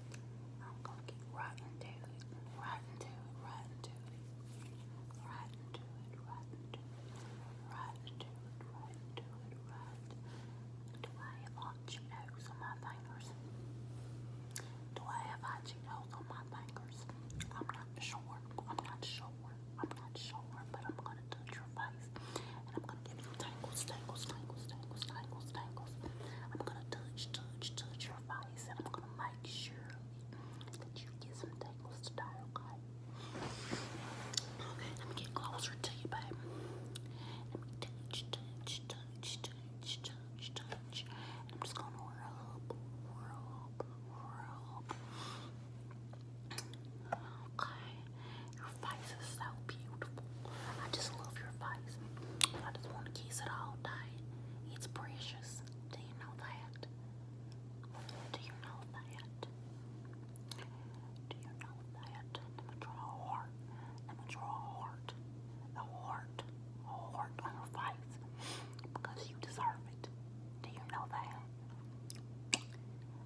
I'm gonna get rotten to it, rotten to it, rotten to it, rotten to it, rotten to it, rotten to it, rotten to it, rotten. Do I have hot Cheetos on my fingers? Do I have hot Cheetos on my fingers? I'm not sure. I'm not sure. I'm not sure, but I'm gonna touch your face. And I'm gonna give you tangles, tangles, tangles, tangles, tangles, tangles. I'm gonna touch, touch, touch your face, and I'm gonna make sure that you get some tangles today, okay? Okay, let me get closer to you, babe. Let me touch, touch, touch, touch, touch, touch. And I'm just gonna rub, rub, rub. Your face is so beautiful. I just love your face. I just want to kiss it all day. It's precious. Do you know that? Do you know that? Do you know that? Let me draw a heart. Let me draw a heart. A heart. A heart on your face. Because you deserve it. Do you know that?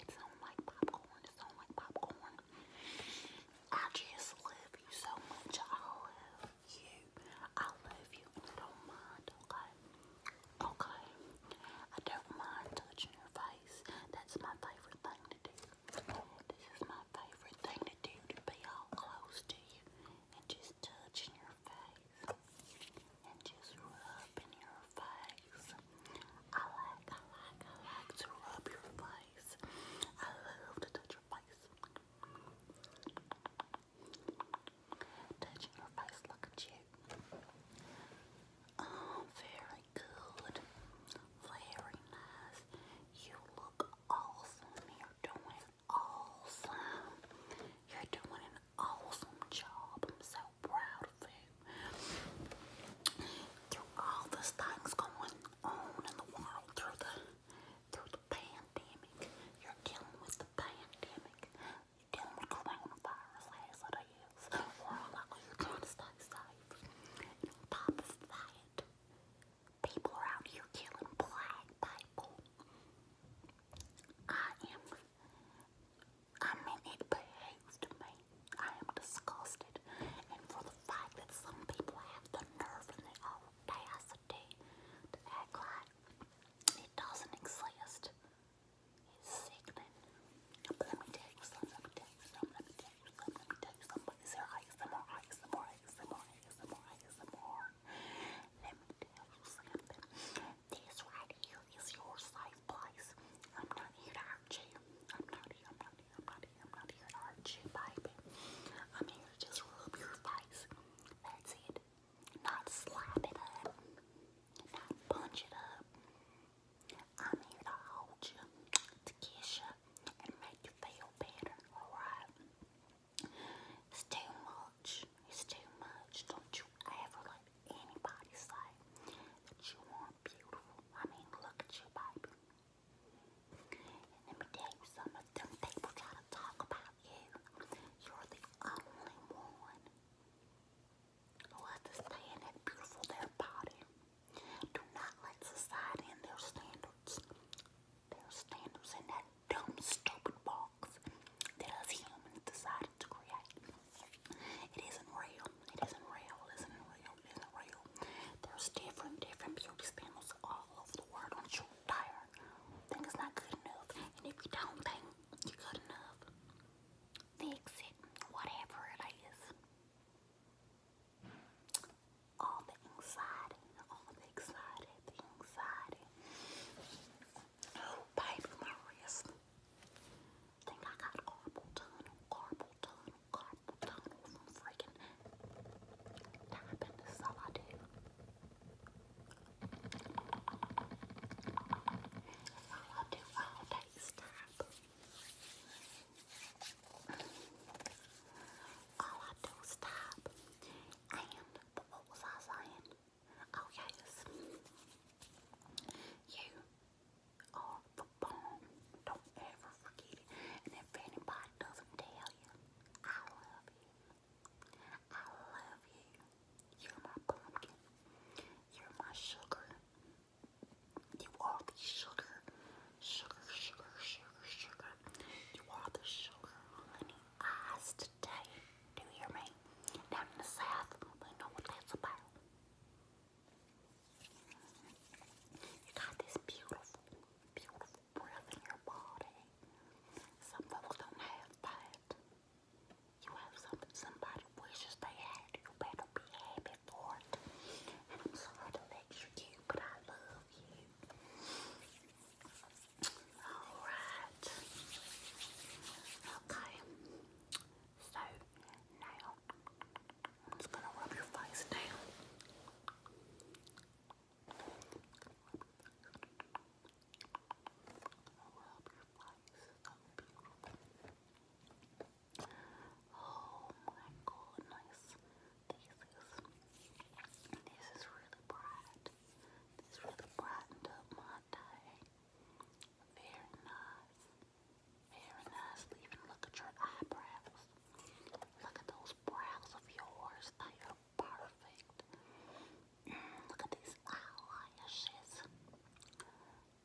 It sounds like popcorn. It sounds like popcorn. I just love you so much. I love you. I love you. I don't mind, okay? Okay. I don't mind touching your face. That's my favorite thing to do. This is my favorite thing to do, to be all close to you and just touching your face and just rubbing your face. I like, I like, I like to rub your face. I love to touch your face. Touching your face, look at you. Oh, very good. Very nice. You look awesome. You're doing awesome. You're doing an awesome job. I'm so proud of you. Through all this things going on in the world, through the through the pandemic, you're dealing with the pandemic. You're dealing with coronavirus as it is. Or like you trying to stay safe. And on top of that, people are out here killing black people. I am, I mean, it behaves me. I am disgusted. And for the fact that some people have the nerve and the audacity to act like it doesn't exist is sickening. let me tell you something, let me tell you something, let me tell you something, let me tell you something. Is there ASMR, ASMR, ASMR, ASMR, ASMR, ASMR? This right here is your safe place. I'm not here to hurt you. I'm not here, I'm not here, I'm not here, I'm not here to hurt you, baby. I'm here to rub your face. That's it. Not slap it up. Not punch it up. I'm here to hold you, to kiss you, and make you feel better, alright? It's too much. It's too much. Don't you ever let anybody say that you aren't beautiful. I mean, look at you, baby. And let some of them people try to talk about you. You're the only one who understands how beautiful their body do not let society and their standards, their standards in that dumb, stupid box that us humans decided to create. It isn't real. It isn't real. It isn't real. It isn't real. There's different, different beauty standards all over the world. Don't you tire. Think it's not good enough. And if you don't think you're good enough, fix it. Whatever it is all the anxiety, all the anxiety, the anxiety. Oh, baby, my wrist. Think I got carpal tunnel, carpal tunnel, carpal tunnel from freaking tapping. This is all I do. tap. All I do is type. And what was I saying? Oh You are the bomb. Don't ever forget it. And if anybody doesn't tell you, I love you. I love you. You're my pumpkin. You're my sugar. You want the sugar, sugar, sugar, sugar, sugar. You want the sugar on the eyes today. Do you hear me? Down in the south, we know what that's about. You got this beautiful, beautiful breath in your body. Some folks don't have that. You have something somebody wishes they had. You better be happy for it. And I'm sorry to let you but I love you. Alright. Okay. So, now, I'm just gonna rub your face down. I will Oh my goodness. This is this is really bright. This really brightened up my day. Very nice. Very nice. Even look at your eyebrows. Look at those brows of yours perfect. Mm, look at these eyelashes.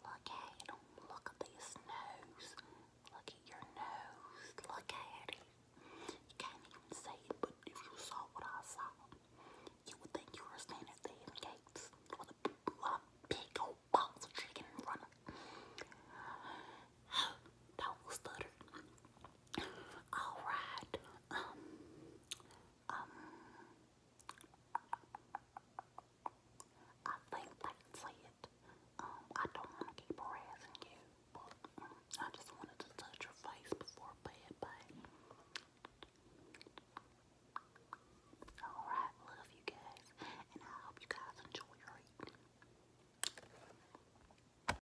Look at Look at this nose. Look at your nose. Look at it. You can't even see it, but if you saw what I saw, you would think you were standing at the gates with a big old box of chicken in front of Don't Alright. Um, um, I think that's it. Um, I don't want to keep harassing you, but um, I just wanted to touch your face before bed, babe. Alright, love you guys, and I hope you guys enjoy your